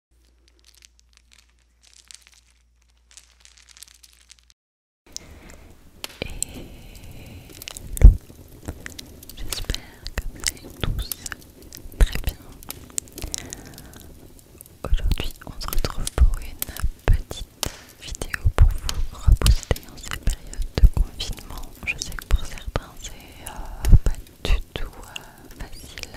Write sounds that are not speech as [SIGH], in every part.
Hello, j'espère que vous allez tous très bien. Aujourd'hui, on se retrouve pour une petite vidéo pour vous reposter en cette période de confinement. Je sais que pour certains, c'est euh, du tout euh, facile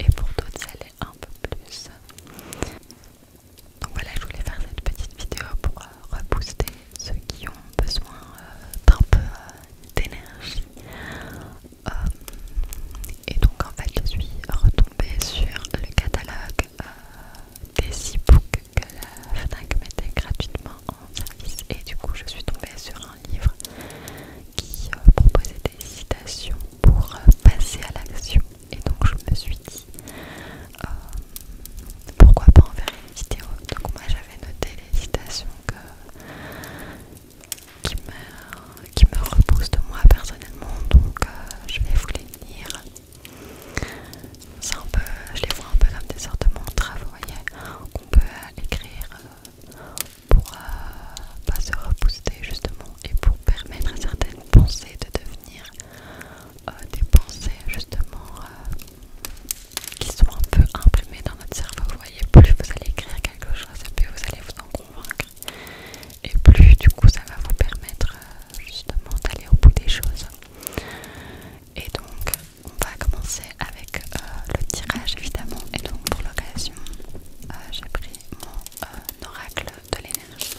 et pour d'autres ça un peu plus donc voilà je voulais faire cette petite vidéo pour euh, rebooster ceux qui ont besoin euh, d'un peu d'énergie et donc en fait je suis retombée sur le catalogue des e books que la FNAC mettait gratuitement en service et du coup je suis tombée sur un livre qui euh, proposait des citations pour euh, passer à l'action et donc je me suis dit euh, pourquoi pas en faire une vidéo donc moi j'avais noté les citations que, qui, me, repoussent de moi personnellement donc je vais vous les lire un peu, je les vois un peu comme des sortes de mantras vous qu'on peut écrire pour euh, pas se rebooster justement et pour permettre à certaines pensées de devenir euh, des pensées justement euh, qui sont un peu imprimées dans notre cerveau. Vous voyez, plus vous allez écrire quelque chose plus vous allez vous en convaincre et plus du coup ça va vous permettre justement d'aller au bout des choses. Et donc on va commencer avec euh, le tirage évidemment et donc pour l'occasion euh, j'ai pris mon euh, oracle de l'énergie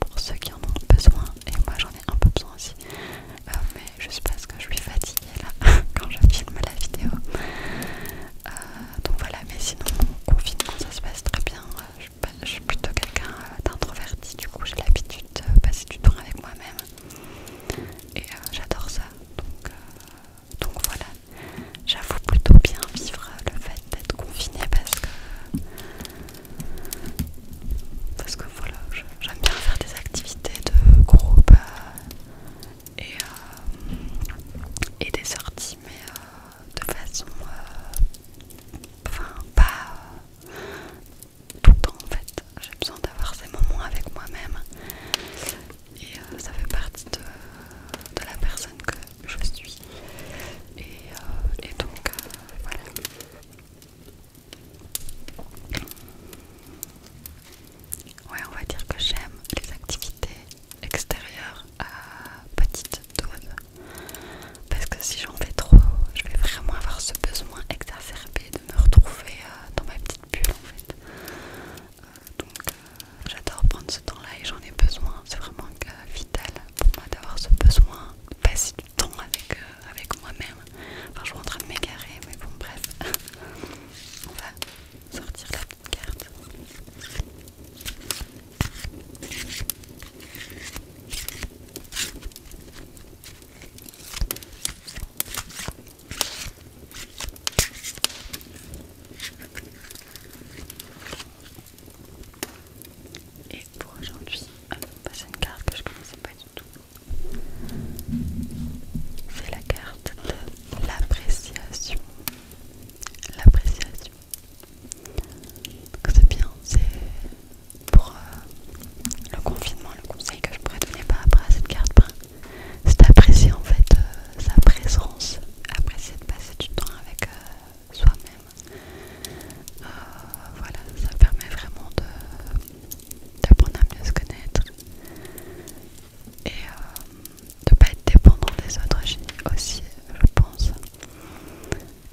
pour ceux qui en ont besoin et moi j'en ai un peu besoin aussi mais juste parce que je suis fatiguée là [LAUGHS] quand je filme la vidéo donc voilà mais sinon mon confinement ça se passe très bien bah, je, suis plutôt quelqu'un d'introverti du coup j'ai l'habitude de passer du temps avec moi-même et j'adore ça donc donc voilà, j'avoue plutôt bien vivre le fait d'être confinée parce que parce que voilà, j'aime bien faire des activités de groupe euh, euh, et, des sorties, mais euh, de façon enfin pas tout le temps en fait. J'ai besoin d'avoir ces moments avec moi-même et euh, ça fait partie de, la personne que je suis et, euh, donc euh, voilà ouais on va dire que j'aime les activités extérieures à petite dose parce que si j'en fais trop je vais vraiment avoir ce besoin exacerbé de me retrouver dans ma petite bulle en fait donc euh, j'adore prendre ce temps là et j'en ai besoin c'est vraiment euh, vital pour moi d'avoir ce besoin de passer du temps avec, euh, avec moi-même enfin je suis en train de m'égarer mais bon bref [LAUGHS] on va sortir la petite carte et pour aujourd'hui, c'est une carte que je ne connaissais pas du tout. C'est la carte de l'appréciation. L'appréciation. C'est bien, c'est pour euh, le confinement, le conseil que je pourrais donner par rapport à cette carte c'est d'apprécier en fait euh, sa présence, apprécier de passer du temps avec euh, soi-même. Euh, voilà, ça permet vraiment d'apprendre à mieux se connaître et de ne pas être dépendant des autres aussi, je pense.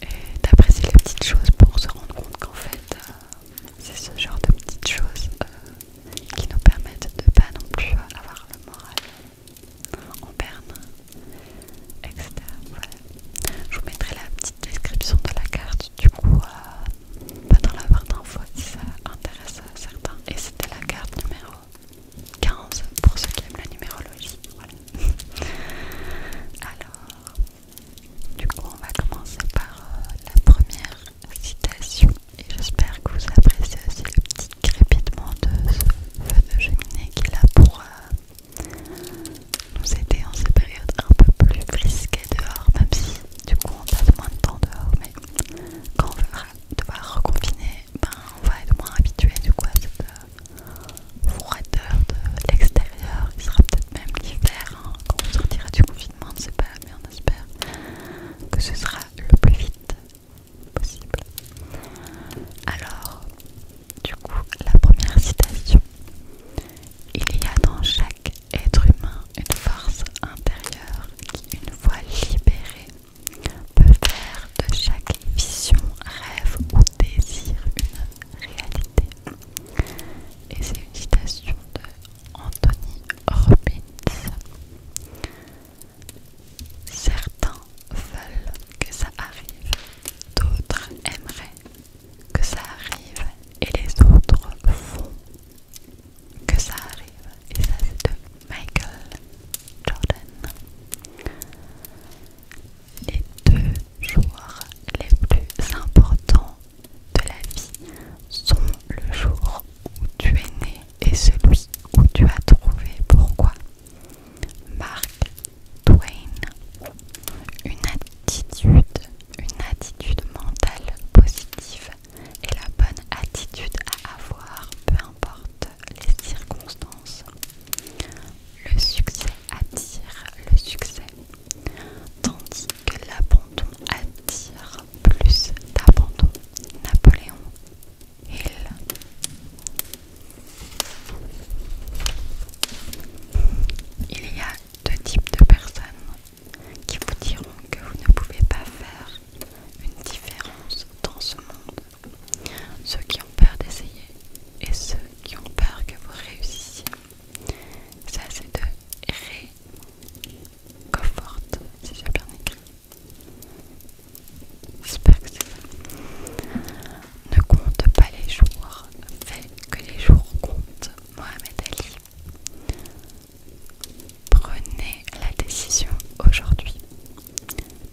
Et d'apprécier les petites choses pour se rendre compte qu'en fait, c'est ce genre de petites choses qui nous permettent de pas non plus avoir le moral en berne, etc. Voilà. Je vous mettrai la petite description de la carte, du coup, euh, pas dans la barre d'infos si ça intéresse certains. Et c'était la carte numéro 15 pour ceux qui aiment la numérologie. [LAUGHS] Alors, du coup, on va commencer par euh, la première citation et j'espère que vous appréciez aussi le petit crépitement de ce feu de cheminée qu'il a pour nous aider en cette période un peu plus risquée dehors, même si du coup on passe moins de temps dehors, mais quand on va devoir reconfiner, ben, on va être moins habitué du coup à cette euh, de l'extérieur, il sera peut-être même l'hiver hein, quand on sortira du confinement, on ne sait pas, mais J'espère que ce sera le plus vite possible. Alors, du coup, la première citation. Il y a dans chaque être humain une force intérieure qui, une fois libérée, peut faire de chaque vision, rêve ou désir une réalité. Et c'est une citation de Anthony Robbins. Certains veulent que ça arrive, d'autres aimeraient que ça arrive et les autres font que ça arrive. Et ça c'est de Michael Jordan. Les deux joueurs les plus importants de la vie sont le jour où tu es né et celui où tu as trouvé pourquoi. Mark Twain. Une attitude, une attitude mentale positive est la bonne attitude à avoir, peu importe les circonstances. Le succès attire le succès, tandis que l'abandon attire plus d'abandon. Napoléon Hill. Il y a deux types de personnes qui vous diront que vous ne pouvez pas faire une différence dans ce monde. Ceux qui ont peur d'essayer et ceux qui ont peur que vous réussissiez. Ça, c'est deux réconforte, si j'ai bien écrit. J'espère que c'est ça. Ne compte pas les jours, fais que les jours comptent. Mohamed Ali. Prenez la décision aujourd'hui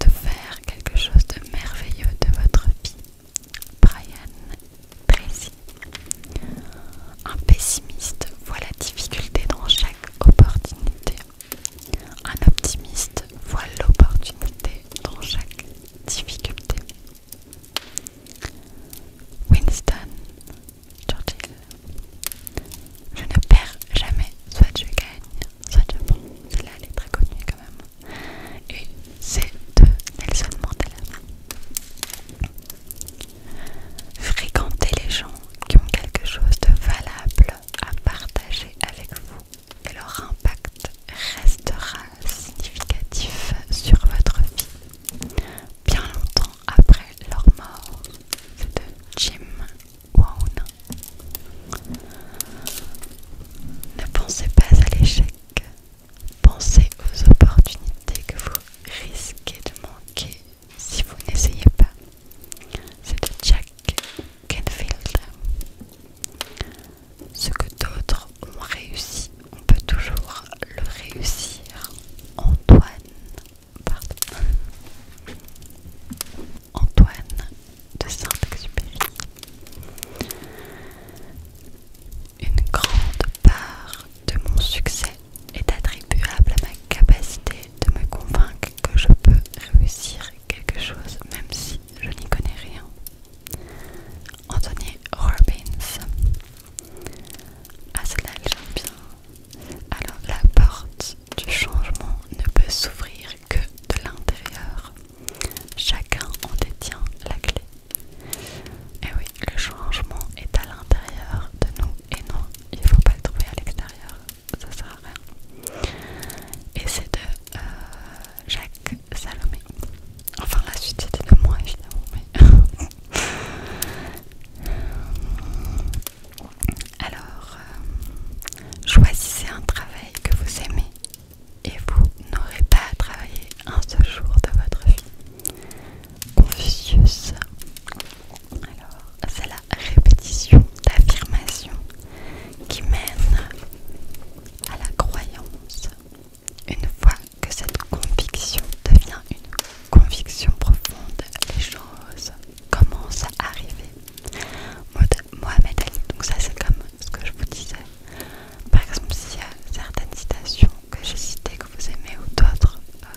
de faire quelque chose de merveilleux de votre vie. Brian Tracy. Un pessimiste voit la difficulté dans chaque opportunité. Un optimiste voit l'opportunité dans chaque difficulté. Winston Churchill Je ne perds jamais, soit je gagne, soit je prends. Celle-là, elle est très connue quand même. Et c'est de Nelson Mandela. Fréquentez les gens qui ont quelque chose de valable à partager avec vous et leur impact restera significatif sur votre vie bien longtemps après leur mort. C'est de Jim Ne pensez pas à l'échec, pensez aux opportunités que vous risquez de manquer si vous n'essayez pas. C'est Jack Canfield. Ce que d'autres ont réussi, on peut toujours le réussir. Antoine, pardon. Antoine de Saint-Exupéry. Une grande part de mon succès est attribuable à ma capacité de me convaincre que je peux réussir quelque chose même si je n'y connais rien. Anthony Robbins. À cela, j'aime bien. Alors, la porte du changement ne peut s'ouvrir que de l'intérieur. Chacun en détient la clé. Et oui, le changement est à l'intérieur de nous et non, il ne faut pas le trouver à l'extérieur, ça sert à rien. Et c'est de euh, Jacques Salomé. Enfin, la suite c'était de moi évidemment, [LAUGHS] Alors, euh, choisissez un travail que vous aimez et vous n'aurez pas à travailler un seul jour de votre vie. Confucius. Alors, c'est la répétition d'affirmation qui mène à la croyance. Une fois que cette conviction devient une conviction profonde, les choses commencent à arriver. Mohamed Ali, donc ça c'est comme ce que je vous disais. Par exemple, s'il y a certaines citations que j'ai cité, que vous aimez ou d'autres euh,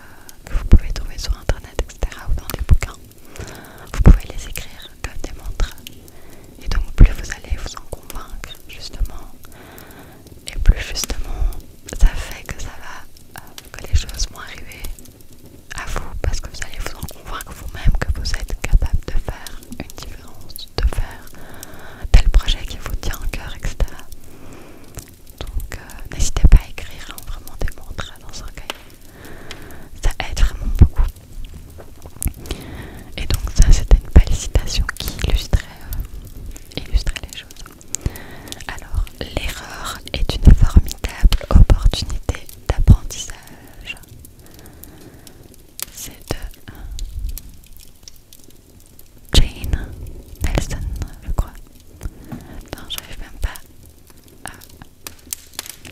que vous pouvez trouver sur internet, etc. ou dans des bouquins, vous pouvez les écrire comme des montres Et donc, plus vous allez vous en convaincre, justement, et plus justement ça fait que ça va, euh, que les choses vont arriver à vous parce que vous allez vous en convaincre vous-même que vous êtes capable de faire une différence, de faire tel projet qui vous tient à cœur, etc. Donc euh, n'hésitez pas à écrire hein, vraiment des dans un cahier. Ça aide vraiment beaucoup. Et donc ça c'était une belle citation qui illustrait, euh, illustrait les choses. Alors l'erreur est une formidable opportunité d'apprentissage. C'est de Jane Nelson, je crois. Non, j'arrive même pas à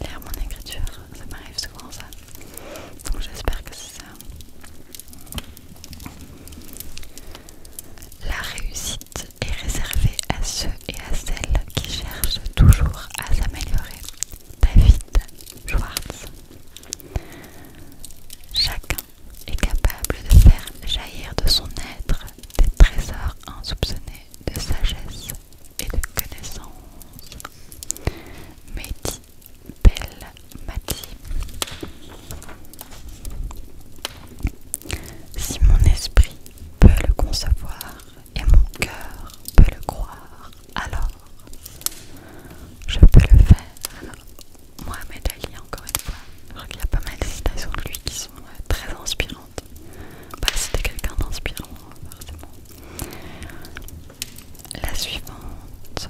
lire mon écriture. Ça m'arrive souvent, ça. Donc j'espère que c'est ça. La réussite est réservée à ceux et à celles qui cherchent toujours à s'améliorer. David Schwartz. Chacun est capable de faire jaillir de son être des trésors insoupçonnés de sagesse et de connaissance. Mehdi Belle Mati. Si mon esprit peut le concevoir et mon cœur peut le croire, alors je peux le faire Mohamed Ali, encore une fois. crois qu'il y a pas mal de citations de lui qui sont euh, très inspirantes. C'était bah, quelqu'un d'inspirant, forcément. La suivante.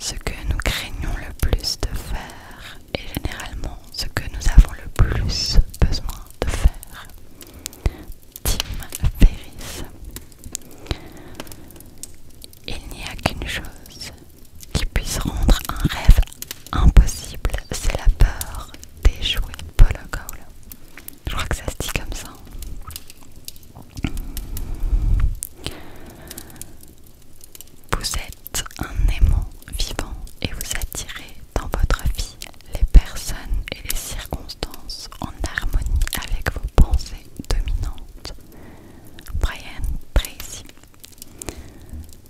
Ce que nous craignons le plus de faire est généralement ce que nous avons le plus besoin de faire. Tim Ferriss. Il n'y a qu'une chose qui puisse rendre un rêve impossible, c'est la peur d'échouer. Paul Je crois que ça se dit comme ça. Vous êtes un aimant vivant et vous attirez dans votre vie les personnes et les circonstances en harmonie avec vos pensées dominantes. Brian Tracy.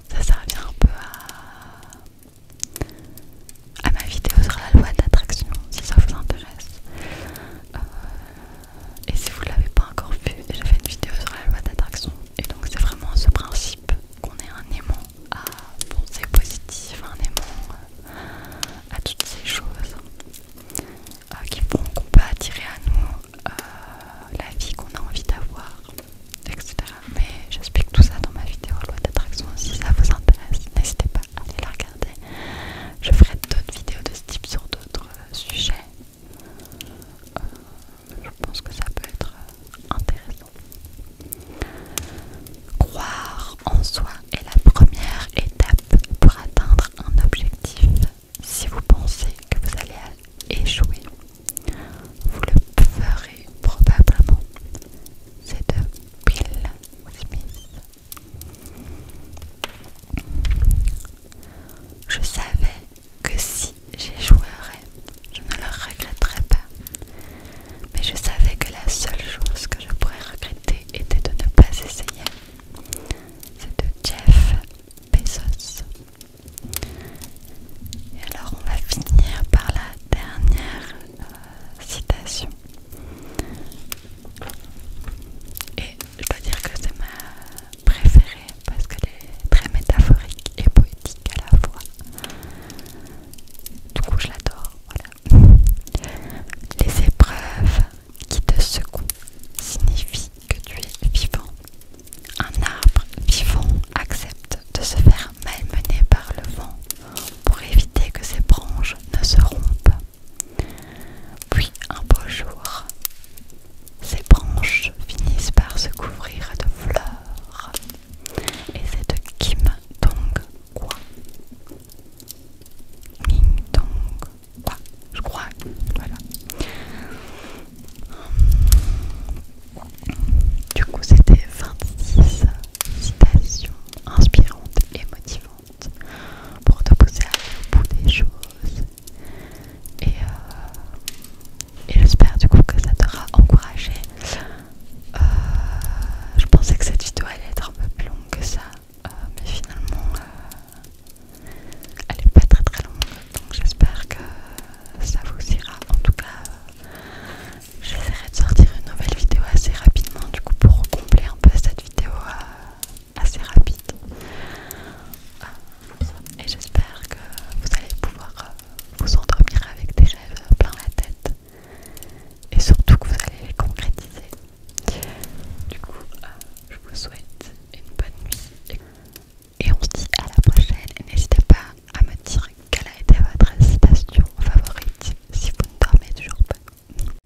Ça, ça un peu à, ma vidéo sur la loi d'attraction si ça vous intéresse. Euh, et si vous ne l'avez pas encore vu, j'ai fait une vidéo sur la loi d'attraction Et donc, c'est vraiment ce principe qu'on est un aimant à penser positif, un aimant euh, à toutes ces choses. Euh, qui font qu'on peut attirer à nous euh, la vie qu'on a envie d'avoir, etc. Mais j'explique tout ça dans ma vidéo Loi d'attraction. Si ça vous intéresse, n'hésitez pas à aller la regarder. Je ferai d'autres vidéos de ce type sur d'autres sujets. Euh, je pense que ça peut être intéressant. Croire en soi est la première étape pour atteindre un objectif si vous pensez que vous allez échouer, vous le ferez probablement. C'est de Bill Smith. Je savais que si j'échouerais, je ne le regretterais pas. Mais je savais que la seule chose que je pourrais regretter était de ne pas essayer. C'est de Jeff Bezos. Et alors on va finir par la dernière euh, citation. Et je dois dire que c'est ma préférée parce qu'elle est très métaphorique et poétique à la fois. Du coup je l'adore, voilà. Les épreuves qui te secoue signifie que tu es vivant. Un arbre vivant accepte de se faire malmener par le vent pour éviter que ses branches ne se rompent. Puis un beau jour, ses branches finissent par se couvrir de fleurs. Et c'est de Kim Dong Kwa. Kim Dong bah, je crois. Voilà. Du coup, c'était 26 citations inspirantes et motivantes pour te pousser à aller au bout des choses. Et, euh, et j'espère du coup que ça t'aura encouragé. Euh, je pensais que cette vidéo allait être un peu plus longue que ça, euh, mais finalement euh, elle est pas très très longue donc j'espère que ça vous ira en tout cas euh, j'essaierai de sortir une nouvelle vidéo assez rapidement du coup pour combler un peu cette vidéo assez rapide et j'espère que vous allez pouvoir vous endormir avec des rêves plein la tête et surtout que vous allez les concrétiser du coup, euh, je vous souhaite une bonne nuit et on se dit à la prochaine. N'hésitez pas à me dire quelle a été votre station favorite si vous ne dormez toujours pas.